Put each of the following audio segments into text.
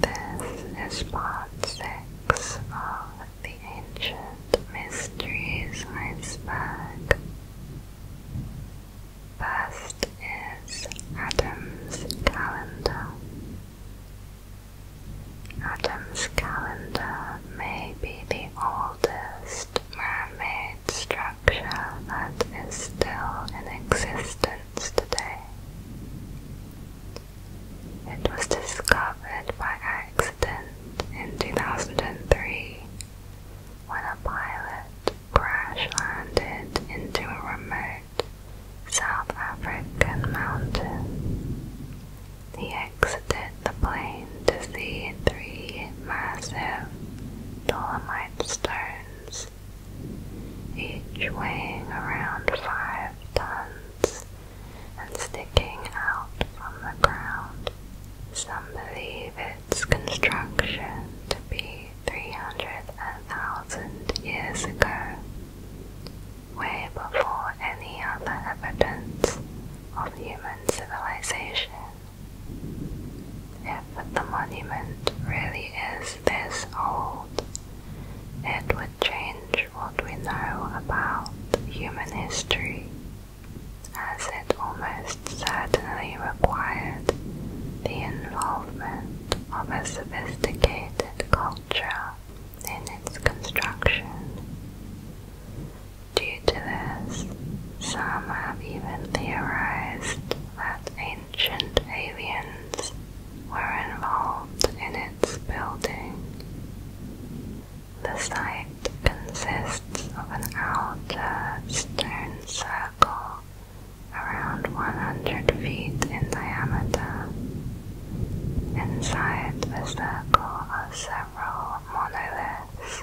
This is part six of the Ancient Mysteries iceberg. First is Adam's calendar. Adam's calendar may be the oldest man-made structure that is still in existence today. It was discovered by accident in 2003 when a pilot crash landed into a remote South African mountain. He exited the plane to see three massive dolomite stones each weighing around five tons and sticking out from the ground. Some believe its construction to be 300,000 years ago, way before any other evidence of human civilization. If the monument really is this old, it would change what we know about human history, as it almost certainly required the involvement of a sophisticated culture in its construction. Due to this, some have even theorized that ancient aliens were involved in its building. The site consists of an outer stone circle around 100 feet in diameter. Inside the circle are several monoliths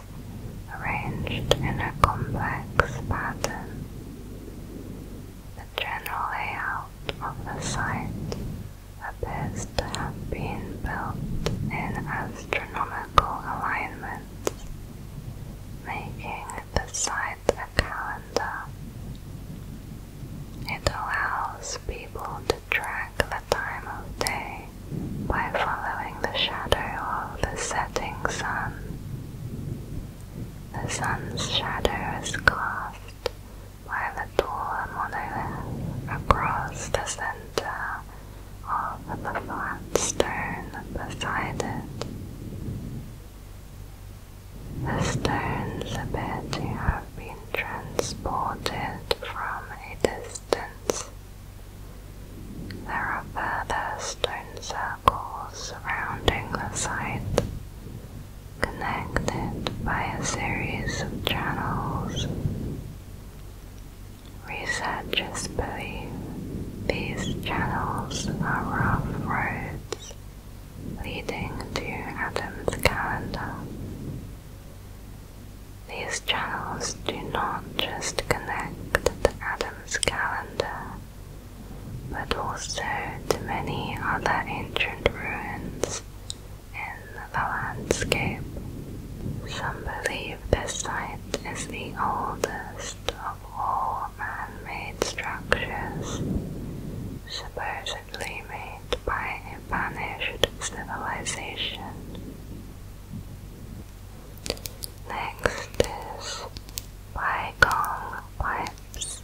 arranged in a complex pattern. The general layout of the site appears to have been built in astronomical alignment, making the site a calendar. It allows people to track the time of day by following the shadow of the setting sun. The sun's shadow is cast by the tall monolith across the center of the flat stone beside it. The stones appear to have been transported from a distance. There are further stone circles surrounding the site, connected by a series of channels. Researchers believe these channels are rough roads leading to Adam's calendar. These channels do not just connect to Adam's calendar but also to many other ancient ruins in the landscape. Some believe this site is the oldest of all man-made structures, supposedly made by a vanished civilization. Next is Baikong Pipes.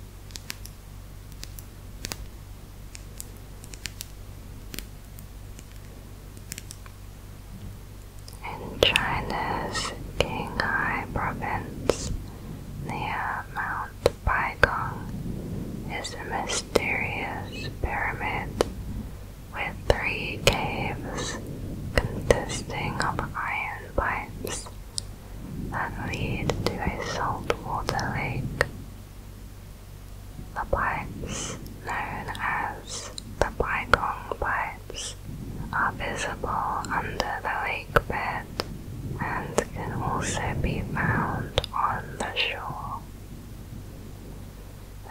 In China's Qinghai province, near uh, Mount Baigong, is a mysterious pyramid with three caves consisting of iron pipes that lead to a saltwater lake. The pipes, known as the Baikong pipes, are visible under the lake bed and can also be found on the shore.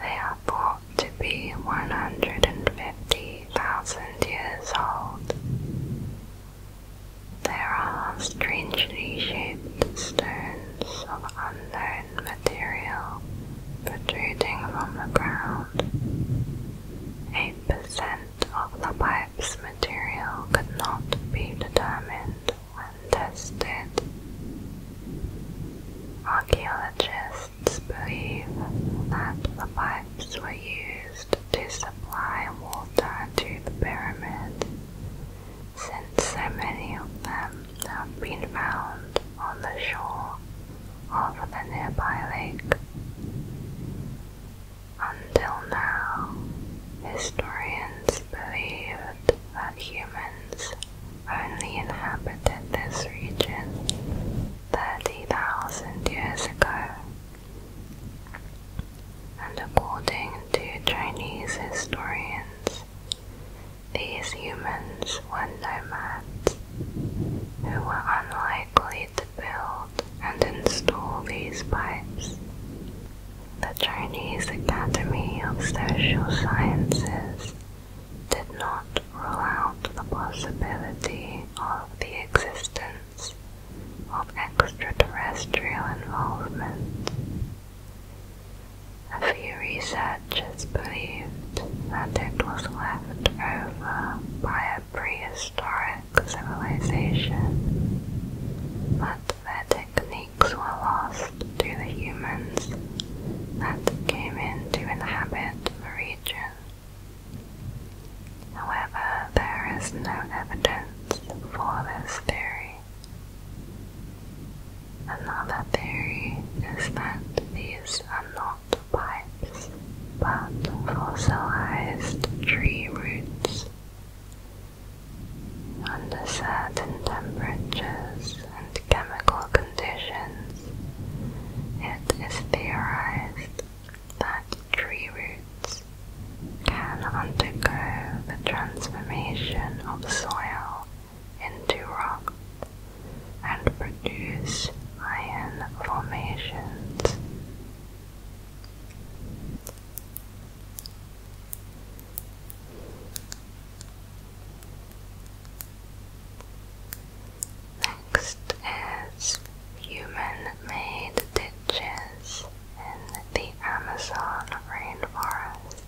They are thought to be 150,000 years old there are strangely shaped stones of unknown material protruding from the ground. Eight percent of the pipe's material could not be determined when tested. Archaeologists believe that the pipes were used to supply water to the pyramids, since so many of them have been found on the shore of the nearby lake. Until now, historians believed that humans only inhabited this region 30,000 years ago and according to Chinese historians, these humans were nomads who were unlikely to build and install these pipes. The Chinese Academy of Social Sciences did not rule out the possibility of the existence of extraterrestrial involvement. A few researchers believed that it was left over by a prehistoric civilization, but their techniques were lost to the humans that came in to inhabit the region. However, there is no evidence evidence for this theory. Another theory is that these are not pipes, but fossilized tree roots. Under certain temperatures and chemical conditions, it is theorized that tree roots can undergo the transformation of soil into rock and produce iron formations. Next is human made ditches in the Amazon rainforest.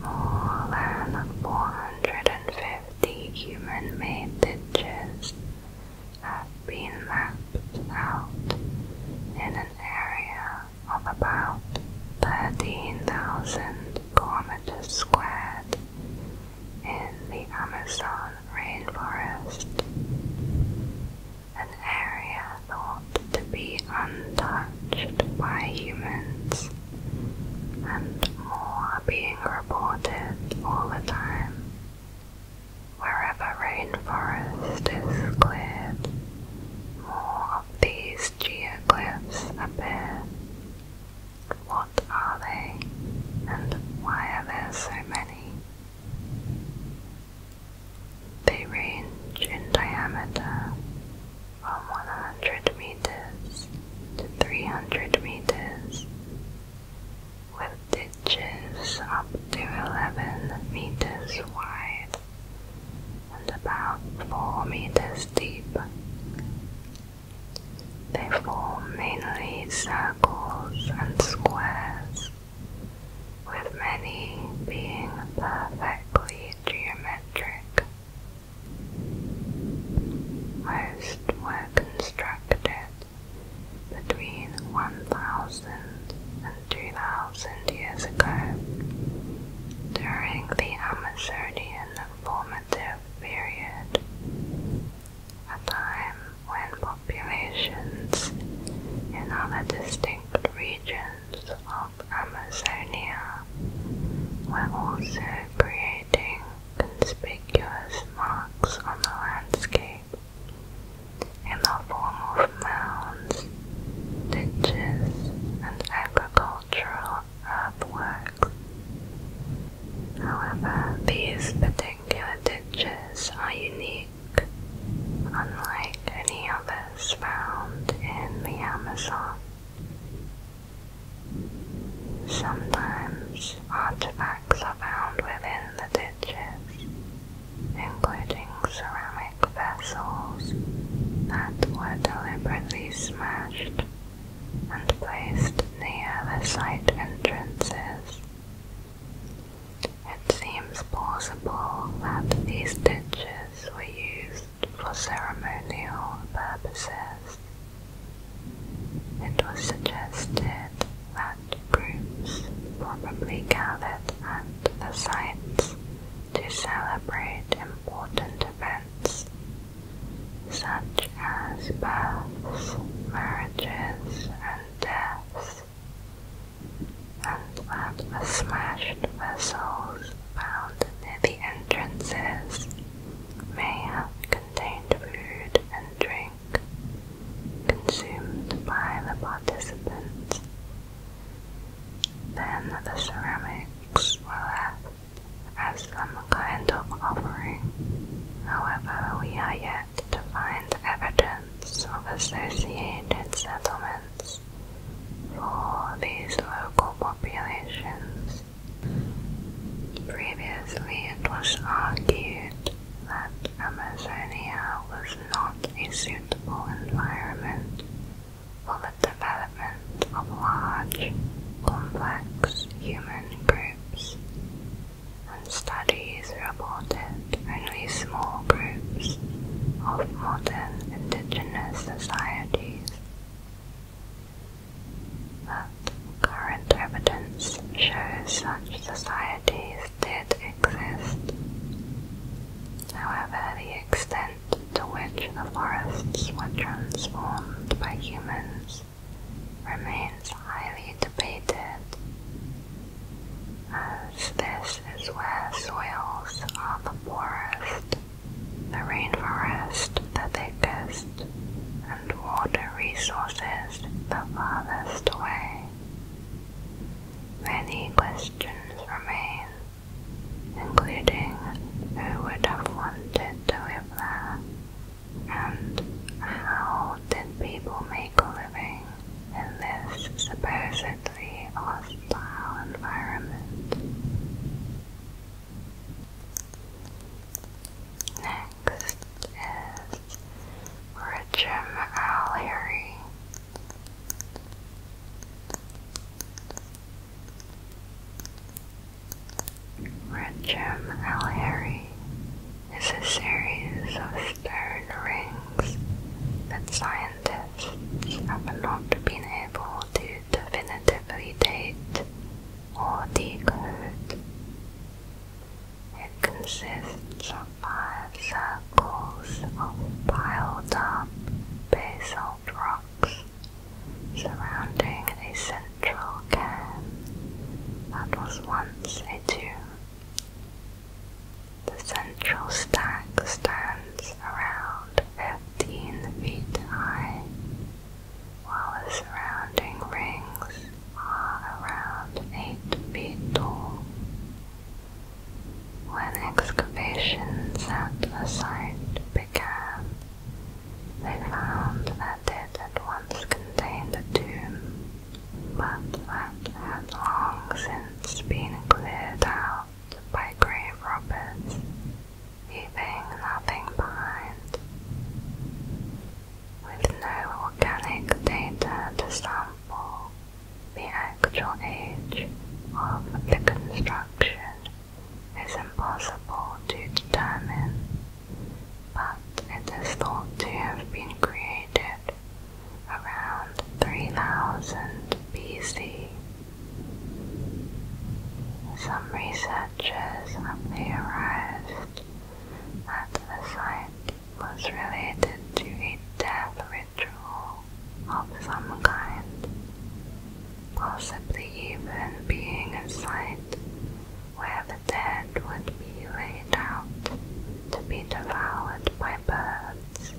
More than 450 human-made ditches have been mapped out in an area of about 13,000 kilometers squared in the Amazon rainforest an area thought to be untouched by humans, and more are being reported all the time. Wherever rainforest is cleared, more of these geoglyphs appear. What are they, and why are there so many? They range in diameter from 100 meters to 300 meters, with ditches up to 11 meters wide and about 4 meters deep. They form mainly circles and squares with many being perfectly geometric. Most were constructed between 1,000 and 2,000 years ago during the Amazonian formative period, a time when populations in other distinct regions of Amazonia were also creating conspicuous marks on the landscape in the form of mounds, ditches, and agricultural earthworks. However, these particular ditches are unique unlike any others found in the Amazon. Sometimes artifacts are found within the ditches, including ceramic vessels that were deliberately smashed and placed near the site entrances it seems possible that these ditches were used for ceremonial purposes. It was suggested that groups probably gathered at the sites to celebrate important events such as births, marriages, and deaths and that the smashed vessels found near the entrances may have contained food and drink consumed by the participants. Then the ceramics were left as some kind of offering. However, we are yet to find evidence of associated settlements for these local populations. Previously, it was argued that Amazonia was not a suitable environment for the development of large, complex human groups, and studies reported only small groups of modern indigenous societies. But current evidence shows such societies did exist. However, the extent to which the forests were transformed by humans remains highly debated as this is where soils are the poorest, the rainforest the thickest, and water resources the farthest away. Many questions remain, including who would have wanted to live there, and how did people make a living? in this supposedly hostile environment. Next is Richard O'Leary. Richard O'Leary is a series of stone rings that scientists I have not been able to definitively date or decode. It consists of five circles of piled up basalt rocks surrounding a central cairn that was once a tomb. The central stack stands around 15 feet high, while the surrounding rings are around 8 feet tall. When excavations at the site began, they found that it had once contained a tomb, but that had long since been cleared out by grave robbers, leaving nothing behind. With no organic data to sample the actual age of the construction is impossible to determine, but it is thought to have been created around 3000 BC. Some researchers have theorized that the site was related to a death ritual of some kind, possibly even being a site where the dead would be laid out to be devoured by birds.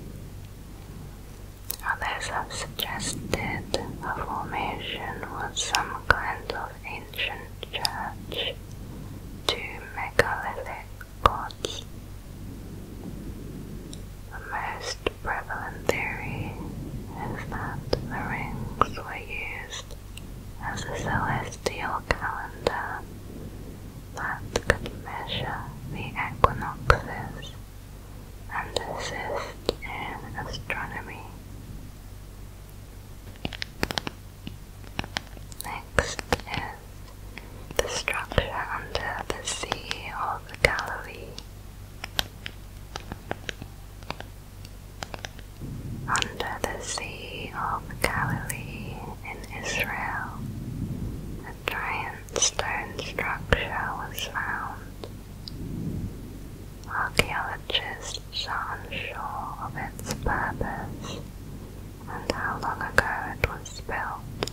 Others have suggested the formation was some kind of ancient church, two megalithic gods. The most prevalent theory is that the rings were used as a celestial calendar that could measure the equinoxes and assist in astronomy. Next is the structure under the Sea of Galilee. Under the Sea of Galilee in Israel, a giant stone structure was found. Archaeologists are unsure of its purpose and how long ago it was built.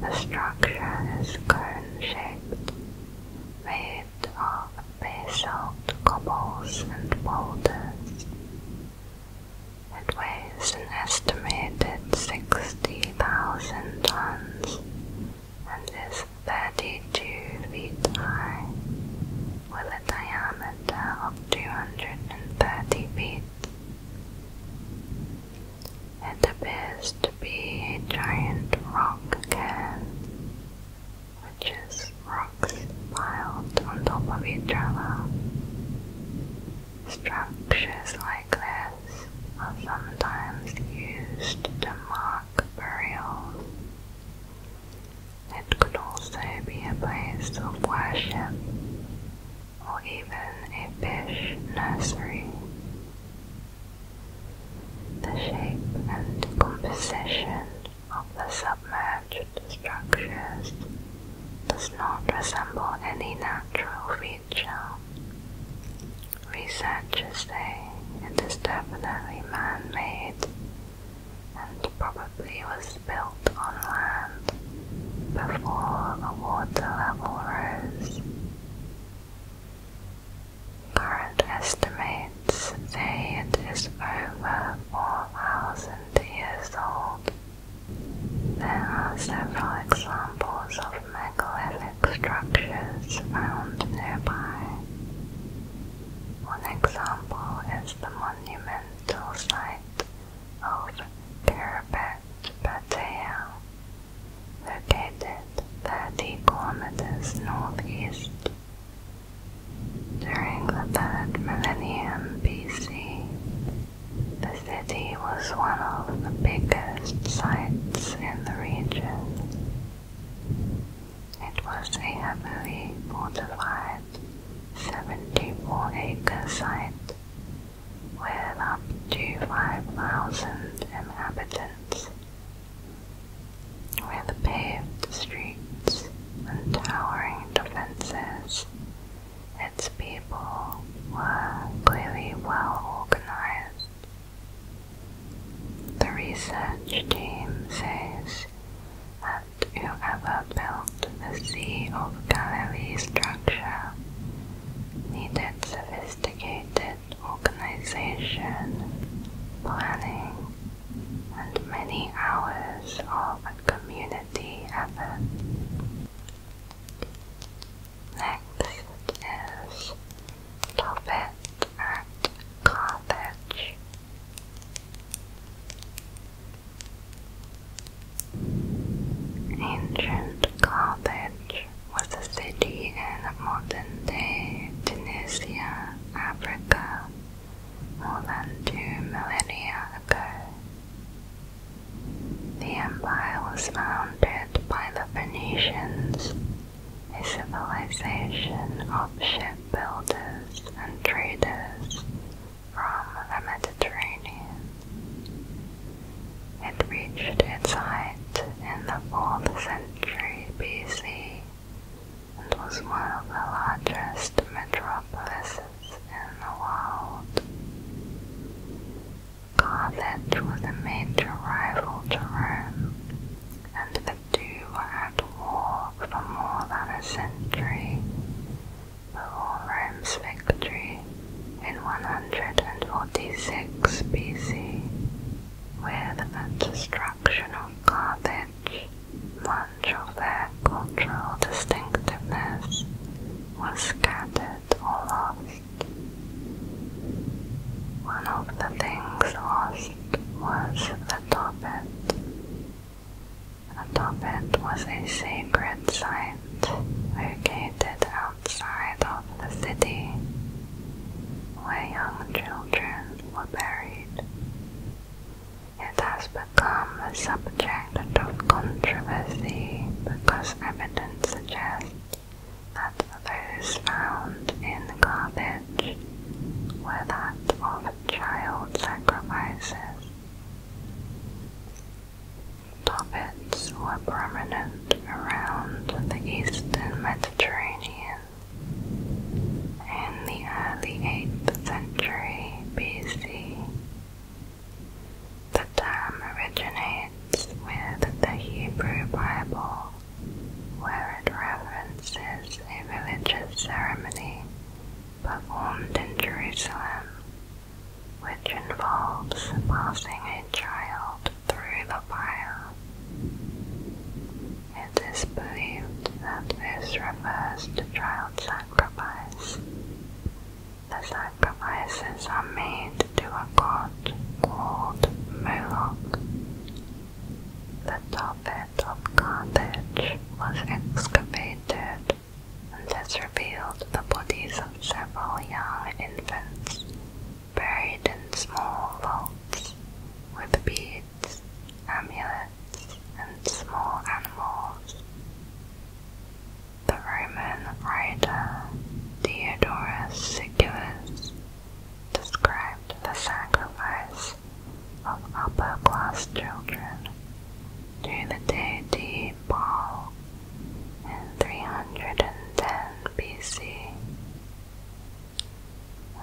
The structure is cone-shaped, made of basalt cobbles and boulders, it weighs an estimated 60,000 tons and is 32 feet high, with a diameter of 230 feet. It appears to be a giant rock cairn, which is rocks piled on top of each other. Structures like this are sometimes used to mark burials. It could also be a place of worship or even a fish nursery. The shape and composition of the submerged structures does not resemble any natural feature. Researchers say it is definitely man-made and probably was built on land before the water level rose. Current estimates say it is over 4,000 years old. There are several examples of megalithic structures found nearby. One example is the monumental site of Kiribet Patea, located 30 kilometers northeast. During the third millennium BC, the city was one of the biggest sites in the region. It was a heavily fortified 74 acre site with up to 5,000 inhabitants, with paved streets and towering defenses its people were clearly well organized. The research team says that whoever built the Sea of Galilee structure needed sophisticated organization, planning, and many hours of community effort. Next is Talbot at Carthage. Ancient Carthage was a city in modern-day Tunisia, Africa, more than two millennia ago. The empire was founded by the Phoenicians, a civilization of shipbuilders and traders from the Mediterranean. It reached its height in the 4th century BC and was one of the largest metropolises in the world. Carthage was a major rival to Rome, and the two were at war for more than a century. Before Rome's victory in 146 BC, with the destruction of Carthage, much of their cultural distinctiveness was scattered it or One of the things lost was the toppet. The toppet was a sacred site located outside of the city where young children were buried. It has become a subject of controversy because evidence suggests that the those found in the garbage were that of child sacrifices. Topics were prominent around the eastern Mediterranean. In the early 8th century BC, the term originates with the Hebrew Bible, where it references a religious ceremony performed in Jerusalem, which involves passing a child through the fire. It is believed that this refers to child sacrifice. The sacrifices are made to a god called Moloch. The Tophet of Carthage was excavated and has revealed the bodies of several young infants buried in small vaults with beads, amulets, and small animals. The Roman writer Diodorus Siculus described the sacrifice of upper class children to the deity Baal in 310 BC.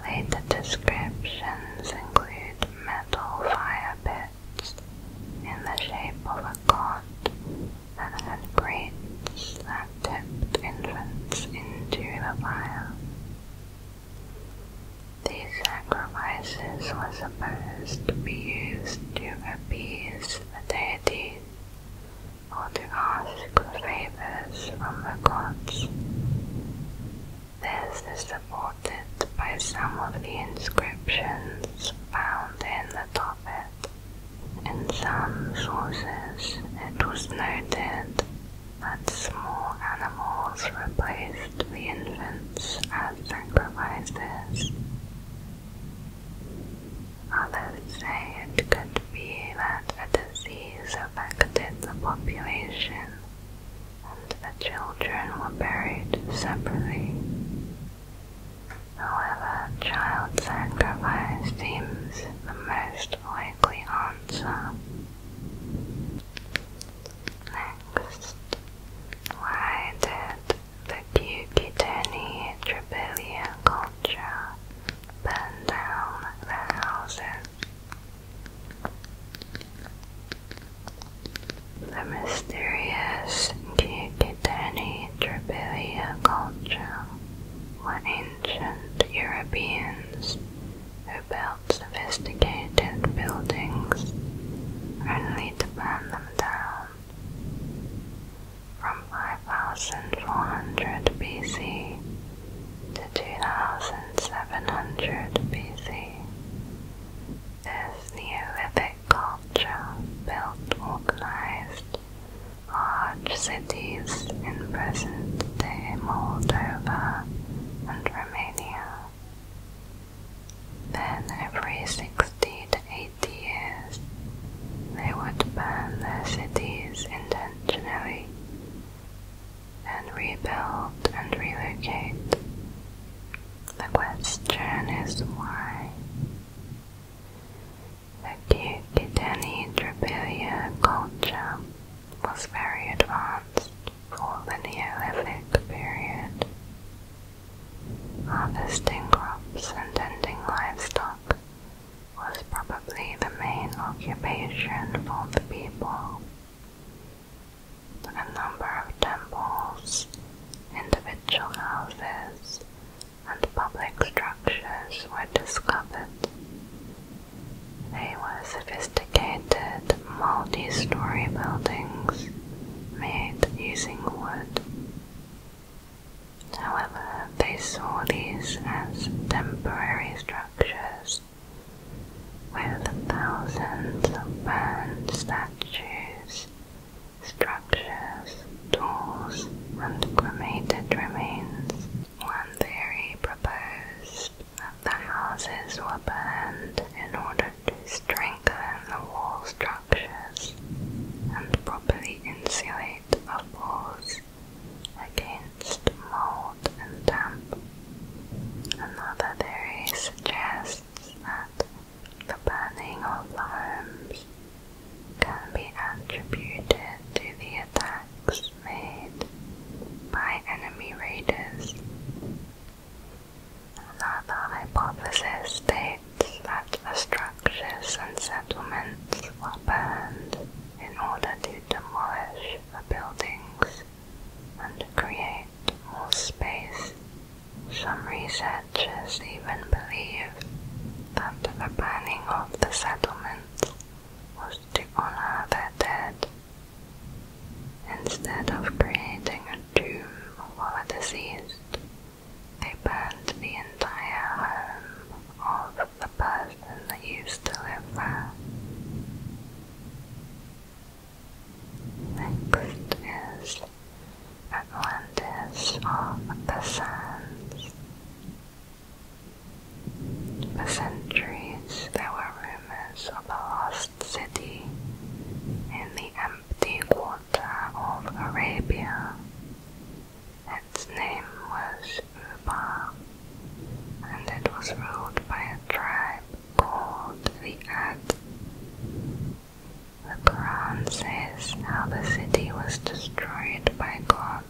Later descriptions include metal fire pits in the shape of a god and had grates that tipped infants into the fire. These sacrifices were supposed to be used to appease the deities or to ask for favors from the gods. This is supported by some of the inscriptions found in the Tophet. In some sources it was noted that small animals replaced the infants as sacrifices. Others say it could be that a disease affected the population and the children were buried separately However, child sacrifice seems the most likely answer. Next, why did the Cucuteni Trabilia culture burn down their houses? The mysterious Cucuteni the drabilia culture were ancient Europeans who built sophisticated buildings only to burn them down. From 5400 BC to 2700 BC, this Neolithic culture built organized large cities in present-day Moldova and Romania. Then every 60 to 80 years, they would burn their cities intentionally, and rebuild and relocate. The question is why? The Kyukitani Drapelia culture was very advanced for the Neolithic period. Harvesting crops and tending livestock was probably the main occupation for the people. A number of temples, individual houses, and public structures were discovered. They were sophisticated, multi-story buildings made using wood. However, they saw these as temporary structures with thousands of burned statues structures, tools, and cremated remains. One theory proposed that the houses were burned in order to strengthen the wall structures and properly insulate the walls against mold and damp. Another theory suggests that the burning of the homes can be attributed to the attacks made by enemy raiders. Another hypothesis states that the structures and settlements were burned in order to demolish the buildings and create more space. Some researchers just even believe that the burning of the settlements was to honor their dead. Instead of creating a tomb for the deceased, they burned the entire home of the person that used to live there. Next is Atlantis of the Sands. For centuries, there were rumors of a lost city in the empty quarter of Arabia. Its name was Uba, and it was ruled by a tribe called the Ad. The Quran says how the city was destroyed by God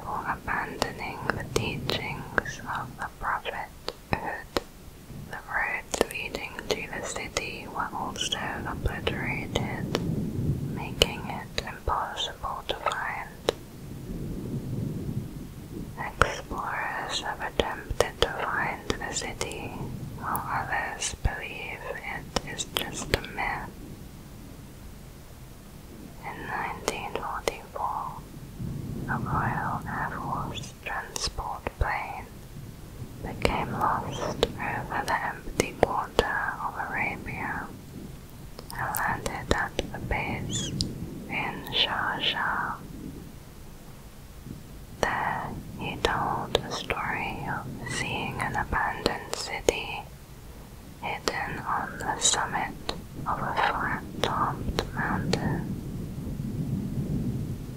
for abandoning the teachings of the Prophet, The roads leading to the city were also obliterated, making it impossible to find. Explorers have attempted to find the city, while others believe it is just a myth. In 1944, a Royal Air Force transport plane became lost over the empty quarter of Arabia and landed at the base in Sharjah. There, he told a story of seeing an abandoned city hidden on the summit of a flat-topped mountain.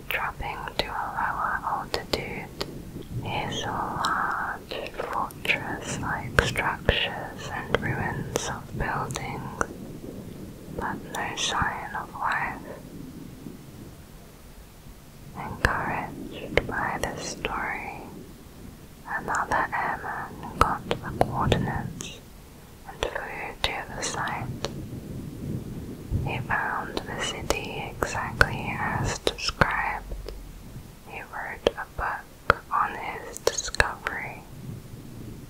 Dropping to a lower altitude, is a large fortress-like structures and ruins of buildings, but no sign of life. Encouraged by the story, Another airman got the coordinates and flew to the site. He found the city exactly as described. He wrote a book on his discovery.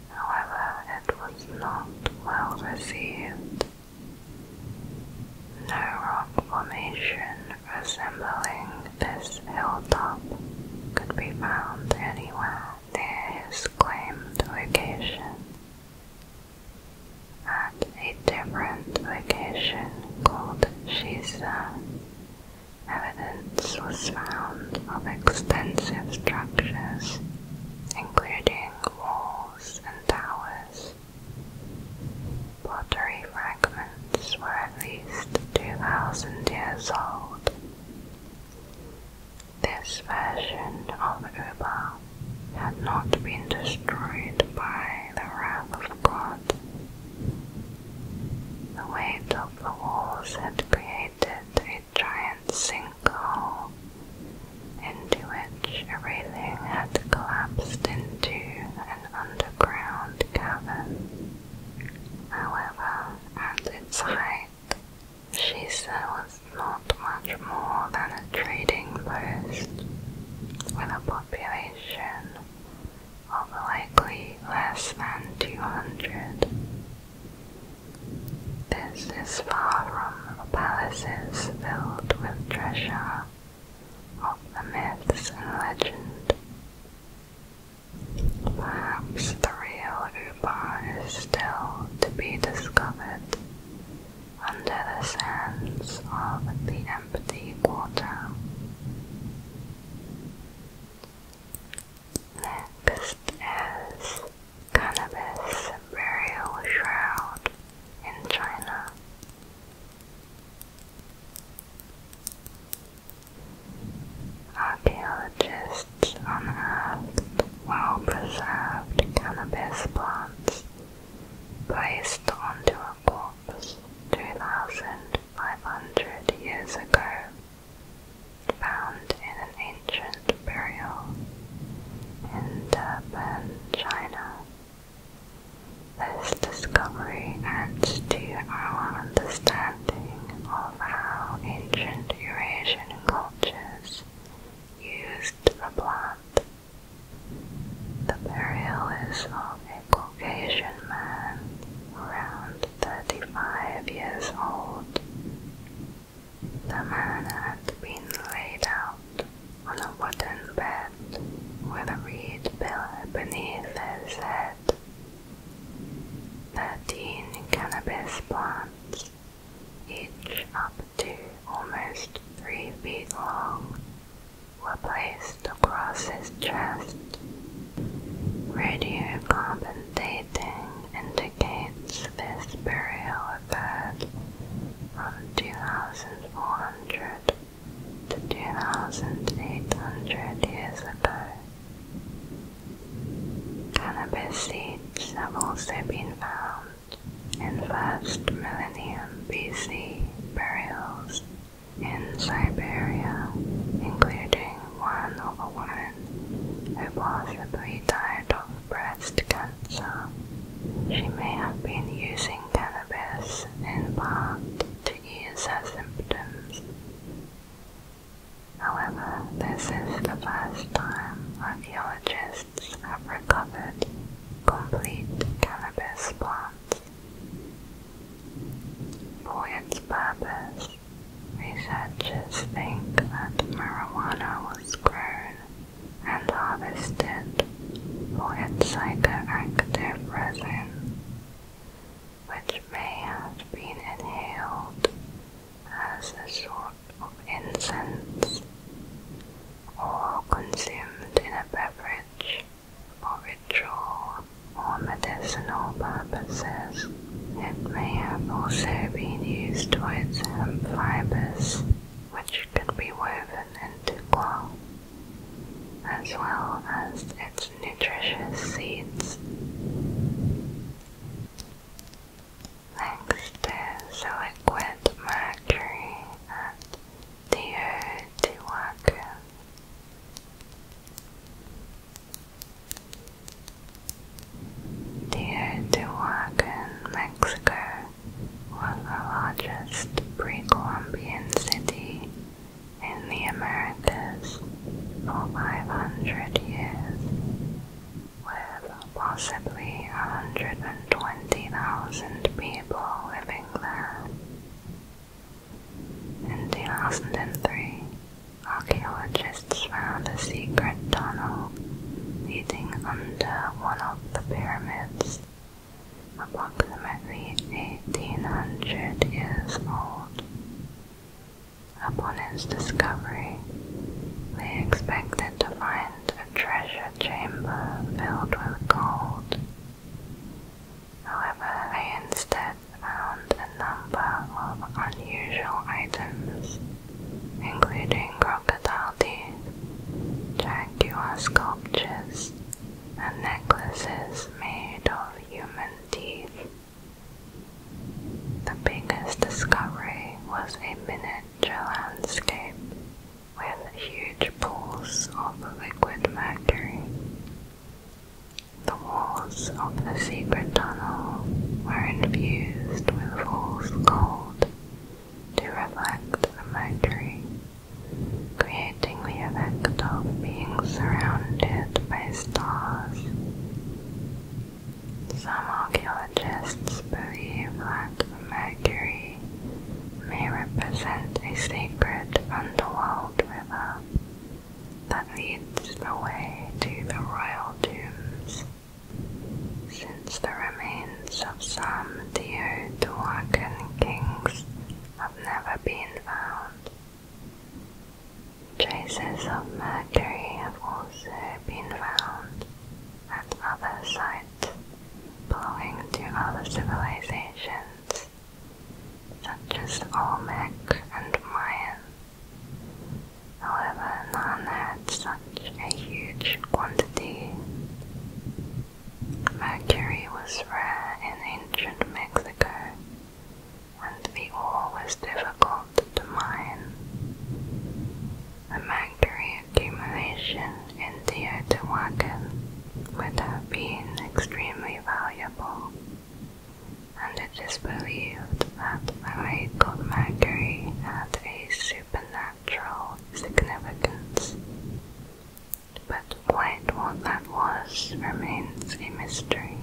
However, it was not well received. No rock formation resembling this hilltop could be found anywhere near his claimed location. At a different location called Shisa, evidence was found of extensive structures, including walls and towers. Pottery fragments were at least 2,000 years old. This version of Uber had not been destroyed by the wrath of God. The weight of the walls had created a giant sinkhole into which everything had collapsed into an underground cavern. However, at its height, Shisa was not much more than a trading post, with a population of likely less than 200. This is far from the palaces filled with treasure of the myths and legend Perhaps the real Ubar is still to be discovered under the sands of the empty quarter. Next is Cannabis Burial Shroud in China. Archaeologists unearthed well-preserved cannabis plants placed onto a corpse 2,500 years ago, found in an ancient burial in Durban, China. This discovery adds to our understanding of how ancient Eurasian cultures used the plant. The burial is of a Caucasian man around 35 years old. The man had been laid out on a wooden bed with a reed pillow beneath his head. 13 cannabis plants, each up to almost 3 feet long, were placed across his chest. Radiocarbon dating indicates this burial occurred from 2400 to 2,800 years ago. Cannabis seeds have also been found in first millennium BC burials in Siberia, including one of a woman who possibly died of breast cancer. She may have been using cannabis in part to ease her symptoms However, this is the first time archaeologists have recovered complete cannabis plants. For its purpose, researchers think that marijuana was grown and harvested for its psychoactive resin which may have been inhaled as a sort of incense or consumed in a beverage or ritual or medicinal purposes. It may have also been used for its hemp fibers, which could be woven into cloth, as well as its nutritious seeds. Next is liquid mercury at Teotihuacan. Teotihuacan, Mexico was the largest pre-Columbian city in the Americas for 500 years, with possibly 120,000 people living there. In 2003, archaeologists found a secret tunnel leading under one of the pyramids, approximately 1800 years old. Upon its discovery, they expected to find a treasure chamber filled with gold. However, they instead found a number of unusual items, including crocodile teeth, jaguar sculptures, and necklaces made of human teeth. The biggest discovery was a miniature landscape with huge pools of liquid mercury. The walls of the secret tunnel were infused with fool's gold to reflect the mercury, creating the effect of being surrounded by stars. Some archaeologists believe that Mercury may represent a sacred underworld river that leads the way to the royal tombs, since the remains of some Teotihuacan kings have never been found. Traces of mercury have also been found at other sites belonging to other civilizations, such as the Olmec and Mayan. However, none had such a huge quantity. Mercury was rare in ancient Mexico and the ore was difficult to mine. mercury accumulation in Teotihuacan would have been extremely valuable, and it is believed that the lake of mercury had a supernatural significance. But quite what that was remains a mystery.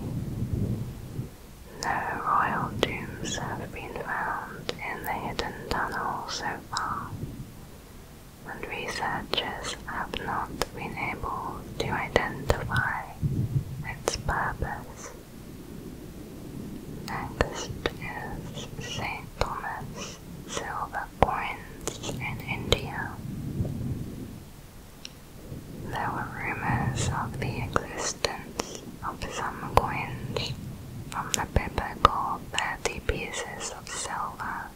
No royal tombs have been found in the hidden tunnel so far, and researchers have not been able to identify its purpose. Next is St. Thomas silver coins in India. There were rumors of the existence of some coins from the biblical thirty pieces of silver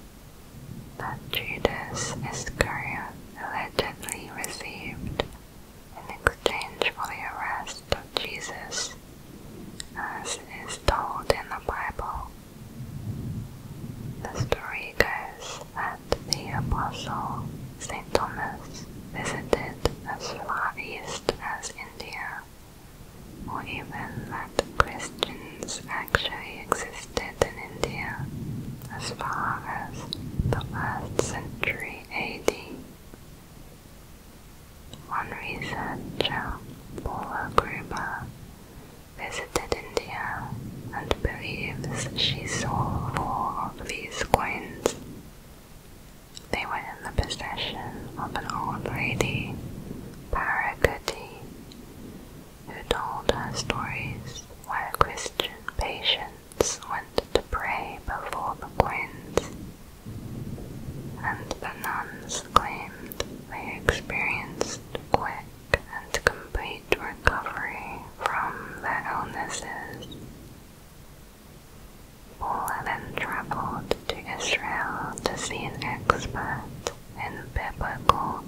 that Judas Iscariot allegedly received in exchange for the arrest of Jesus, as is told in the Bible. The story goes that the Apostle St. Thomas visited as far east as India, or even that Christians actually existed in India as far as the 1st century AD. One researcher, Paula Gruber, visited India and believes she saw four of these queens. They were in the possession of an old lady, Parakuti, who told her stories where Christian patients went to pray before the queens, and the nuns claimed they experienced quick and complete recovery from their illnesses. Paul then traveled to Israel to see an expert in biblical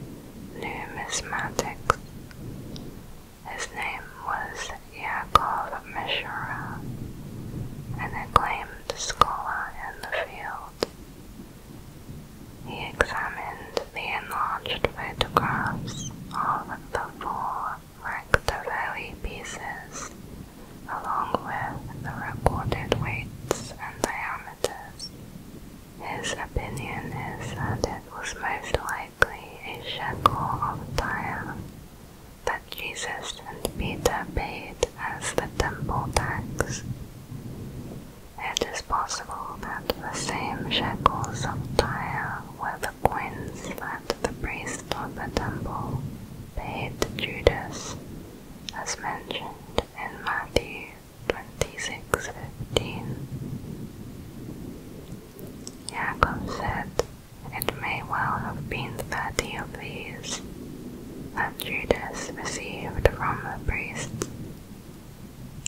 numismatics. His name was Yaakov Mishra, an acclaimed scholar in the field. He examined the enlarged photographs of the four Bracteoe pieces, along with the recorded weights and diameters. His opinion is that it was most likely a shekel of Tyre that Jesus and Peter paid as the temple tax. It is possible that the same shekels of Tyre were the coins that the priest of the temple paid Judas, as mentioned in Matthew 26:15. Jacob said, "It may well have been thirty of these that Judas received from the priest."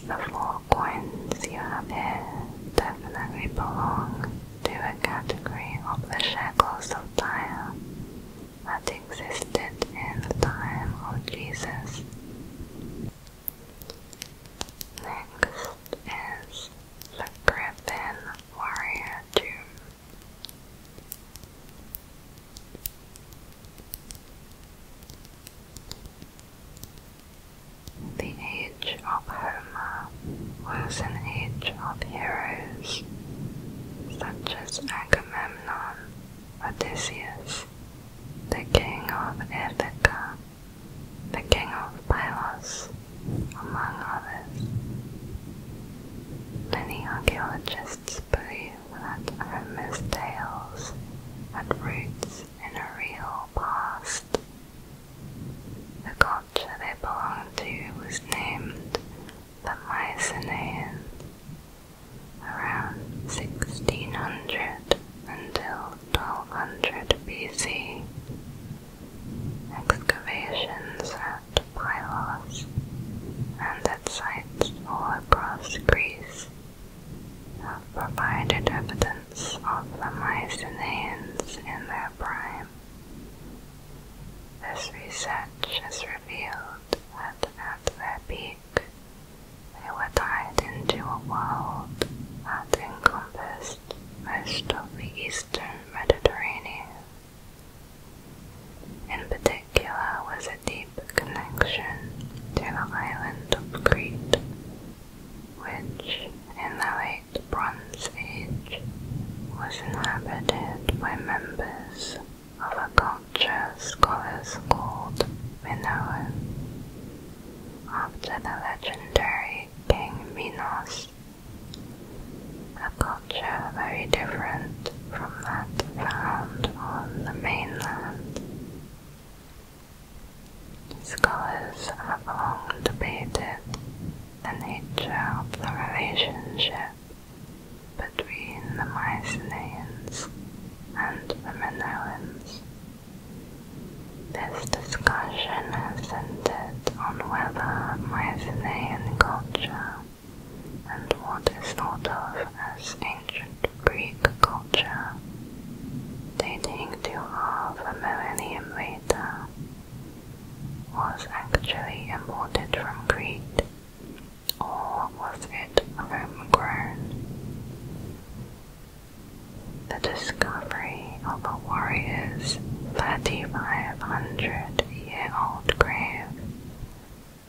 The four coins you have here definitely belong to a category of the shackles of time that existed in the time of Jesus. Next is the Griffin Warrior Tomb. The age of Homer was an age of heroes, such as Agamemnon, Odysseus, the king of Ithaca, the king of Pylos, among others. Many archaeologists believe that Homer's tales had roots in a real past the culture they belonged to was named the Mycenaeans around 1600 until 1200 BC. Excavations at Pylos and at sites all across Greece have provided evidence of the and Mycenaeans in their prime. This research has revealed that at their peak, they were tied into a world that encompassed most of the eastern Mediterranean. In particular was a deep connection to the island of Crete, which in the late Bronze Age was inhabited by members of a culture scholars called Minoan. After the legendary King Minos, a culture very different from that found on the mainland. Scholars have long debated the nature of the relationship between the Mycenaeans and the Minoans. This discussion has centered on whether Mycenaean culture and what is thought of as ancient Greek culture, dating to half a millennium later, was actually imported from Crete, or was it homegrown? The discovery of a warrior's 3,500 year old grave,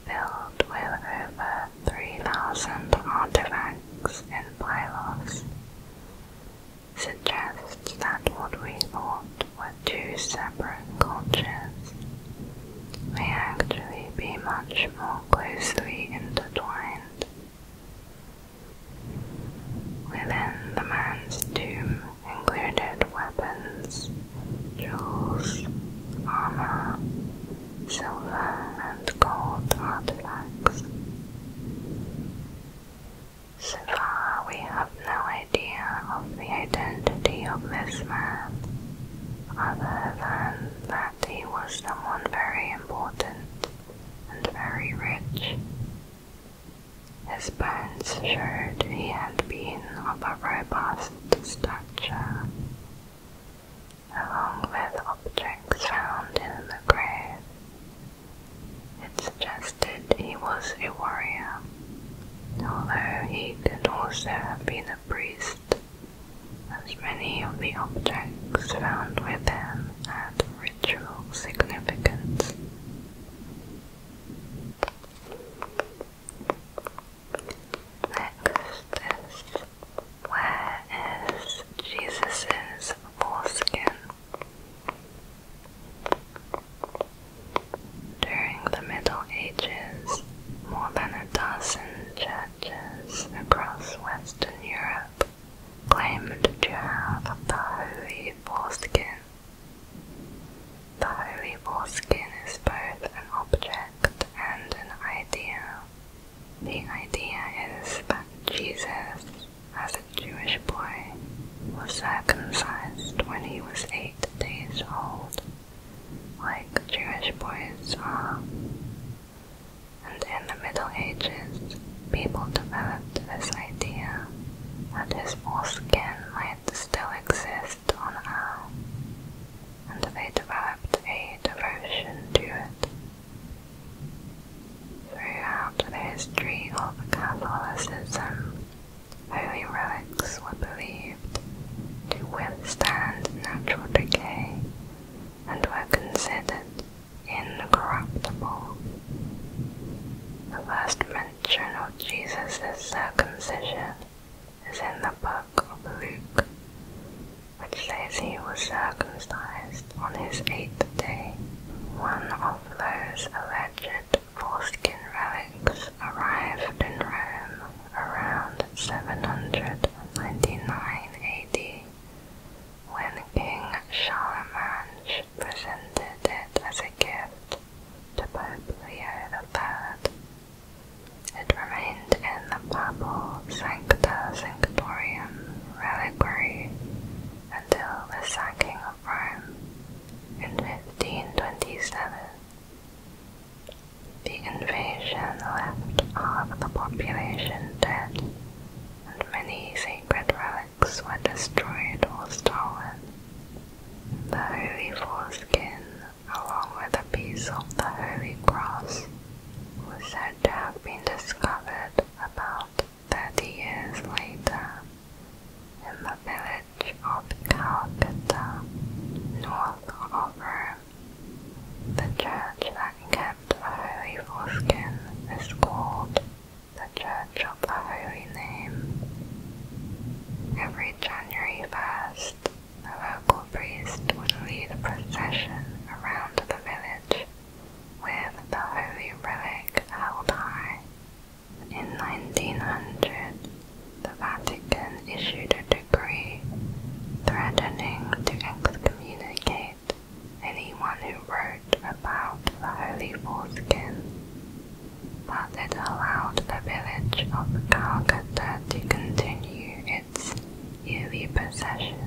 filled with over 3,000 artifacts and Pylos, suggests that what we thought were two separate cultures may actually be much more closely intertwined. Within the man's tomb included weapons, jewels, armor, silver and gold artifacts. So far, we have no idea of the identity of this man, other than that he was someone very important and very rich. His bones showed he had been of a robust stature. Along with objects found in the grave, it suggested he was a warrior, although he could also have been a priest, as many of the objects found with him had ritual significance. Next is, where is Jesus' foreskin? During the Middle Ages, more than a dozen churches across Western Europe claimed to have the holy foreskin. The holy skin is both an object and an idea. The idea is that Jesus as a Jewish boy, was circumcised when he was eight days old, like Jewish boys are. And in the Middle Ages, people developed this idea that his foreskin might still exist on Earth, and they developed a devotion to it Throughout the history of Catholicism, holy relics were believed to withstand natural decay and were considered incorruptible. The first mention of Jesus' circumcision is in the book of Luke, which says he was circumcised on his eighth day. One those alleged foreskin relics arrived in Rome around 799 AD when King Charlemagne presented it as a gift to Pope Leo III. It remained in the Papal Sancta Sanctorum reliquary until the sacking of in 1527. The invasion left half the population dead, and many sacred relics were destroyed or stolen. The holy foreskin, along with a piece of the holy cross, was said to have been discovered about Thirty years later, in the village of Calcutta, north of Rome, the church that kept a holy foreskin is called the Church of the Holy Name. Every January 1st, the local priest would lead a procession around the village with the holy relic held high. In 1900, the Vatican issued a decree threatening to excommunicate anyone who wrote about the holy foreskin, but it allowed the village of Calcutta to continue its yearly procession.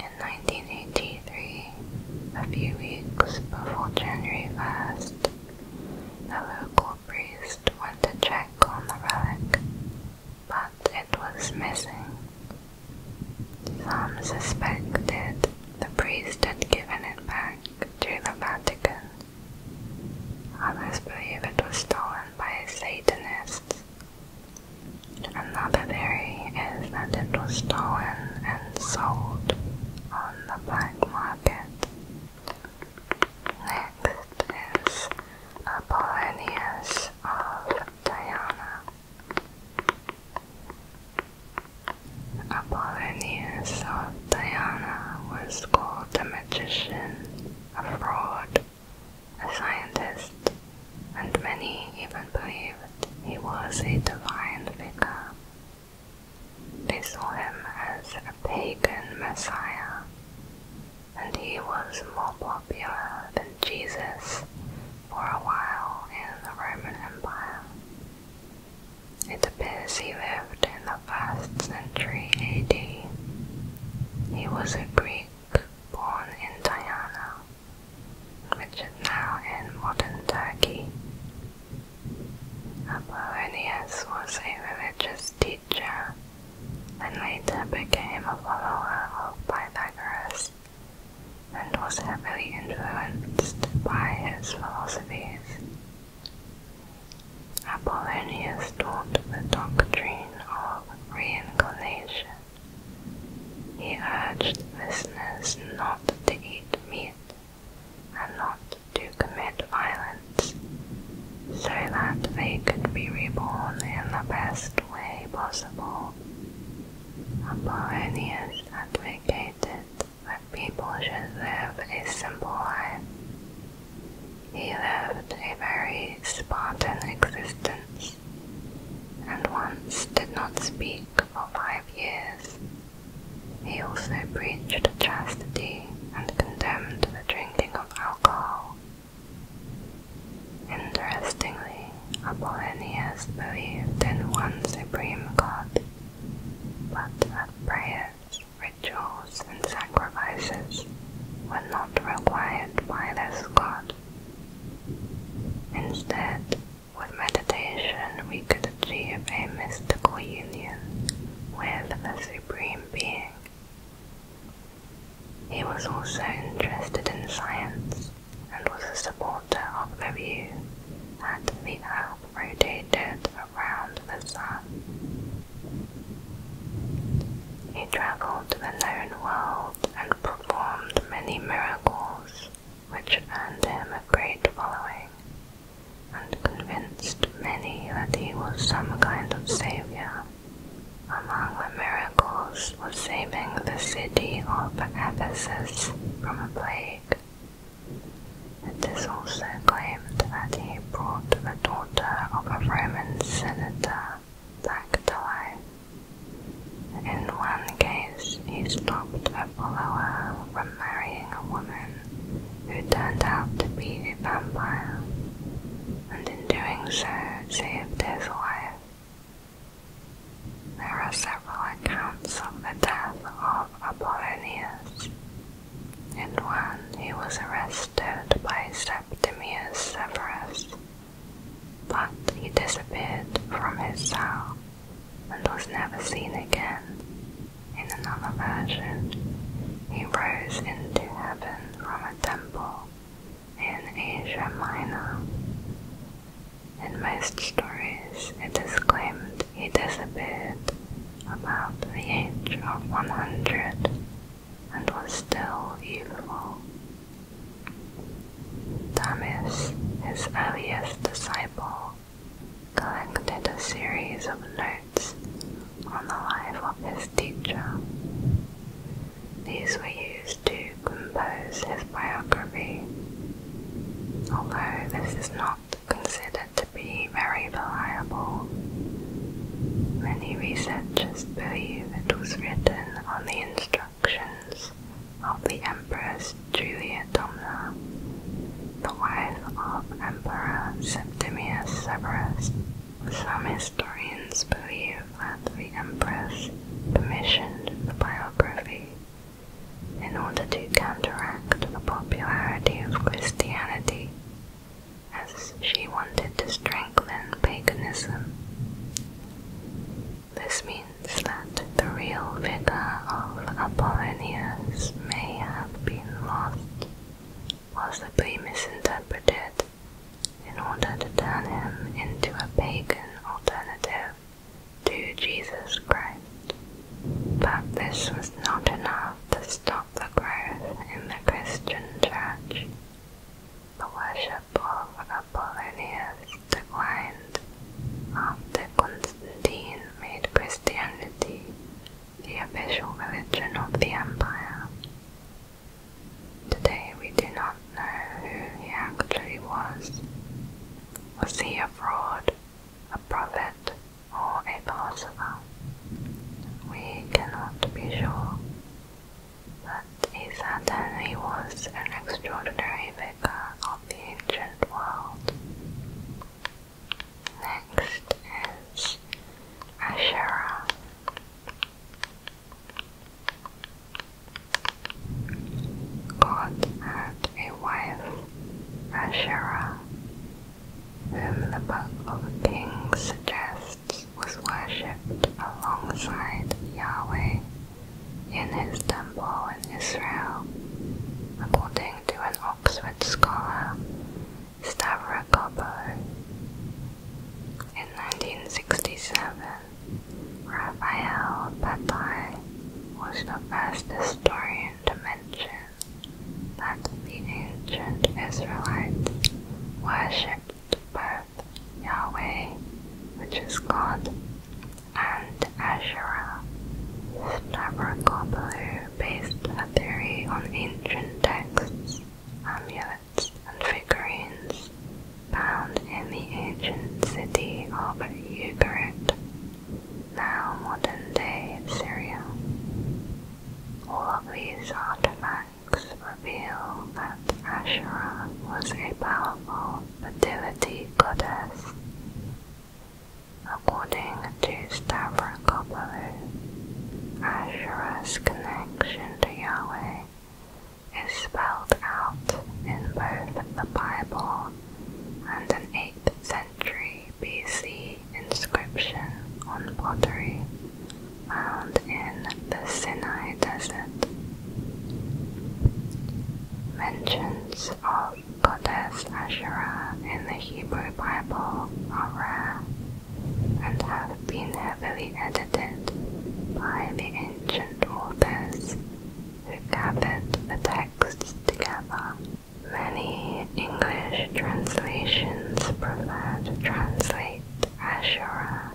In 1983, a few weeks before January 1st, the local priest went to check on the relic, but it was missing. Some suspected the priest had given it back to the Vatican. Others believe it was stolen by Satanists. Another theory is that it was stolen and sold on the black market. Next is Apollonius of Diana. Apollonius of Diana was called a magician, a fraud, a scientist, and many even believed he was a divine figure. They saw him as a pagan messiah, and he was more popular than Jesus for a while in the Roman Empire. It appears he lived in the first century AD. He was a Greek born in Diana, which is now in modern Turkey. Apollonius was a religious teacher and later became a follower of Pythagoras and was heavily influenced by his philosophies. Apollonius taught the doctrine of reincarnation he urged listeners not to eat meat and not to commit violence, so that they could be reborn in the best way possible. Apollonius advocated that people should live a simple life. He lived a very Spartan existence, and once did not speak for five years. He also preached chastity and condemned the drinking of alcohol. Interestingly, Apollonius believed in one supreme god, but that prayers, rituals, and sacrifices were not required by this god. Instead, with meditation, we could achieve a mystical union with the Supreme Being. He was also interested in science and was a supporter of the view that the Earth rotated around the Sun. He traveled to the known world and performed many miracles which earned him a great following and convinced many that he was some kind of savior. Among the miracles was saving the city of Ephesus from a plague. It is also claimed that he brought the daughter of a Roman senator back to life. In one case, he stopped a follower from marrying a woman who turned out to be a vampire, and in doing so, saved his life. There are several accounts of the death of Apollonius. In one, he was arrested by Septimius Severus, but he disappeared from his cell and was never seen again. In another version, he rose into heaven from a temple in Asia Minor. In most stories, it is claimed he disappeared about the age of 100 and was still youthful. Thomas, his earliest disciple, collected a series of notes on the life of his teacher. These were used to compose his biography, although this is not considered to be very reliable. Many researchers believe it was written on the instructions of the Empress Julia Domna, the wife of Emperor Septimius Severus. Some historians believe that the Empress commissioned the biography in order to counteract the popularity of Christianity, as she wanted to strengthen paganism. This means that the real figure of Apollonius may have been lost, was misinterpreted in order to turn him into a pagan alternative to Jesus Christ. But this was not enough to stop the growth in the Christian church. The worship of Apollonius declined after Constantine made Christianity the official religion of the empire. Today we do not know who he actually was. Was he a fraud, a prophet, or a philosopher? We cannot be sure, but he certainly was an extraordinary vicar the ancient world. Next is Asherah. God had a wife, Asherah, whom the Book of Kings suggests was worshipped alongside Yahweh in his temple in Israel, according to an Oxford scholar, Stavrokopo. In 1967, Raphael Patai was the first historian to mention that the ancient Israelites worshipped both Yahweh, which is God, and Asherah. Stavrokopoulou based a theory on ancient texts, amulets, and figurines found in the ancient city of Ugarit, now modern-day Syria. All of these artifacts reveal that Asherah was a powerful fertility goddess According to Stavrokopoulou, Asherah's connection to Yahweh is spelled out in both the Bible and an 8th century BC inscription on pottery found in the Sinai Desert. Mentions of goddess Asherah in the Hebrew Bible are rare and have been heavily edited by the ancient authors who gathered the texts together. Many English translations prefer to translate Asherah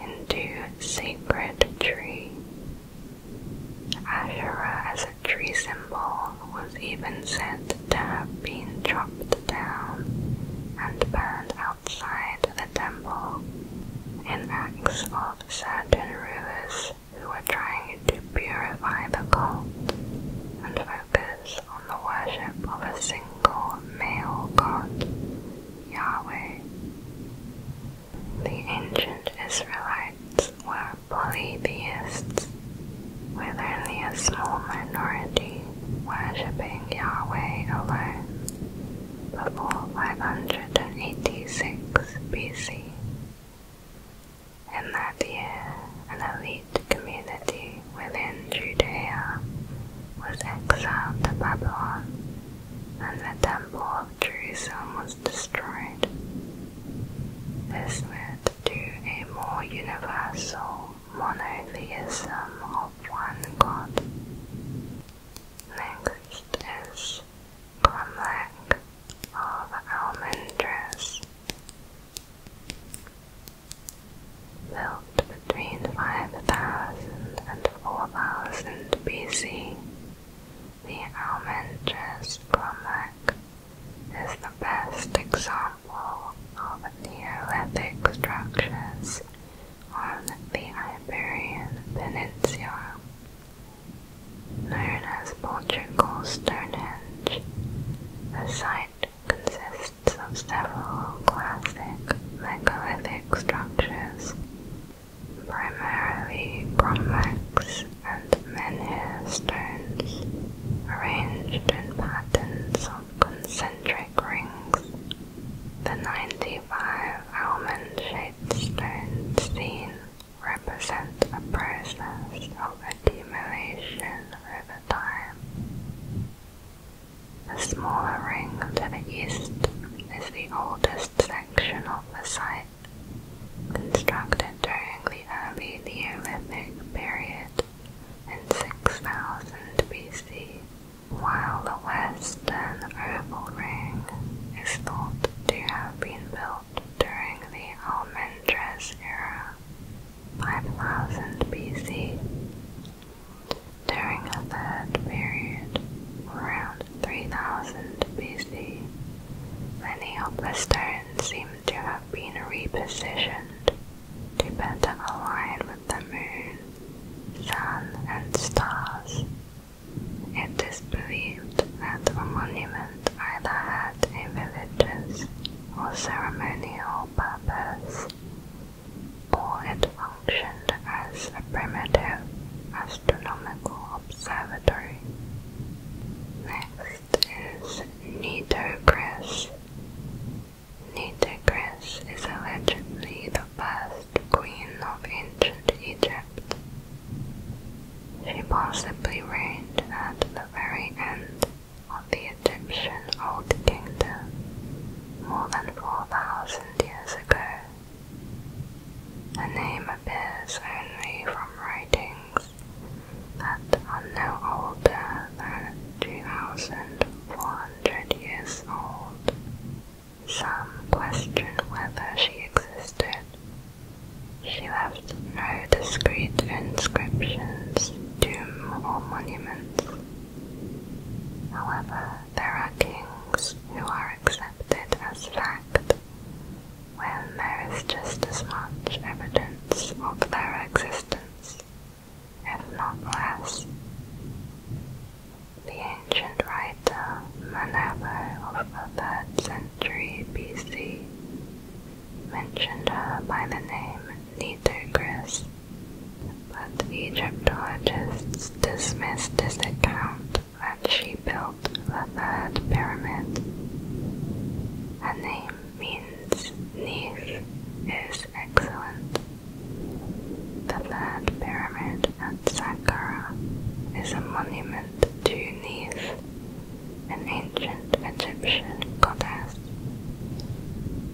into sacred tree Asherah as a tree symbol was even said to have been chopped down and burned outside the temple in acts of certain rulers who were trying to purify the cult and focus on the worship of a single male god, Yahweh. The ancient Israelites were polytheists, with only a small minority worshipping Yahweh alone, before 586 BC. In that year, an elite community within Judea was exiled to Babylon, and the Temple of Jerusalem was destroyed. This led to a more universal monotheism of one god. Next is Cromlech of Almendres. Built between 5000 and 4000 BC, the almendrous cromlech is the best example of Neolithic structures on the Iberian Peninsula. Known as Portugal Stonehenge, the site consists of several classic Neolithic structures, primarily cromlechs and many stones arranged in patterns of concentric rings. The 95 almond-shaped stones seen represent a process of accumulation over time. The smaller ring to the east is the oldest section of the site constructed during the early Neolithic period in 6000 BC, while the western oval ring is thought to have been built during the Almendres era, 5000 BC. During a third period, around 3000 BC, many of the stones seem seem to have been repositioned to better align with the moon, sun, and stars. It is believed that the monument either had a religious or ceremonial purpose, or it functioned as a primitive astronomical observatory next is Nitocris. Nitocris is allegedly the first queen of ancient Egypt. She possibly reigned at the very end of the Egyptian Old Kingdom more than 4,000 years ago. Her name appears only from writing that are no older than 2,400 years old. Some question whether she existed. She left no discreet inscriptions, tomb, or monument. However, there are kings who are accepted as fact, when there is just as much evidence of their existence, if not less. The ancient writer Manetho of the 3rd century BC mentioned her by the name Nitocris, but Egyptologists dismissed this account that she built the Third Pyramid. Her name means niche is excellent. The third pyramid at Saqqara is a monument to Neith, an ancient Egyptian goddess.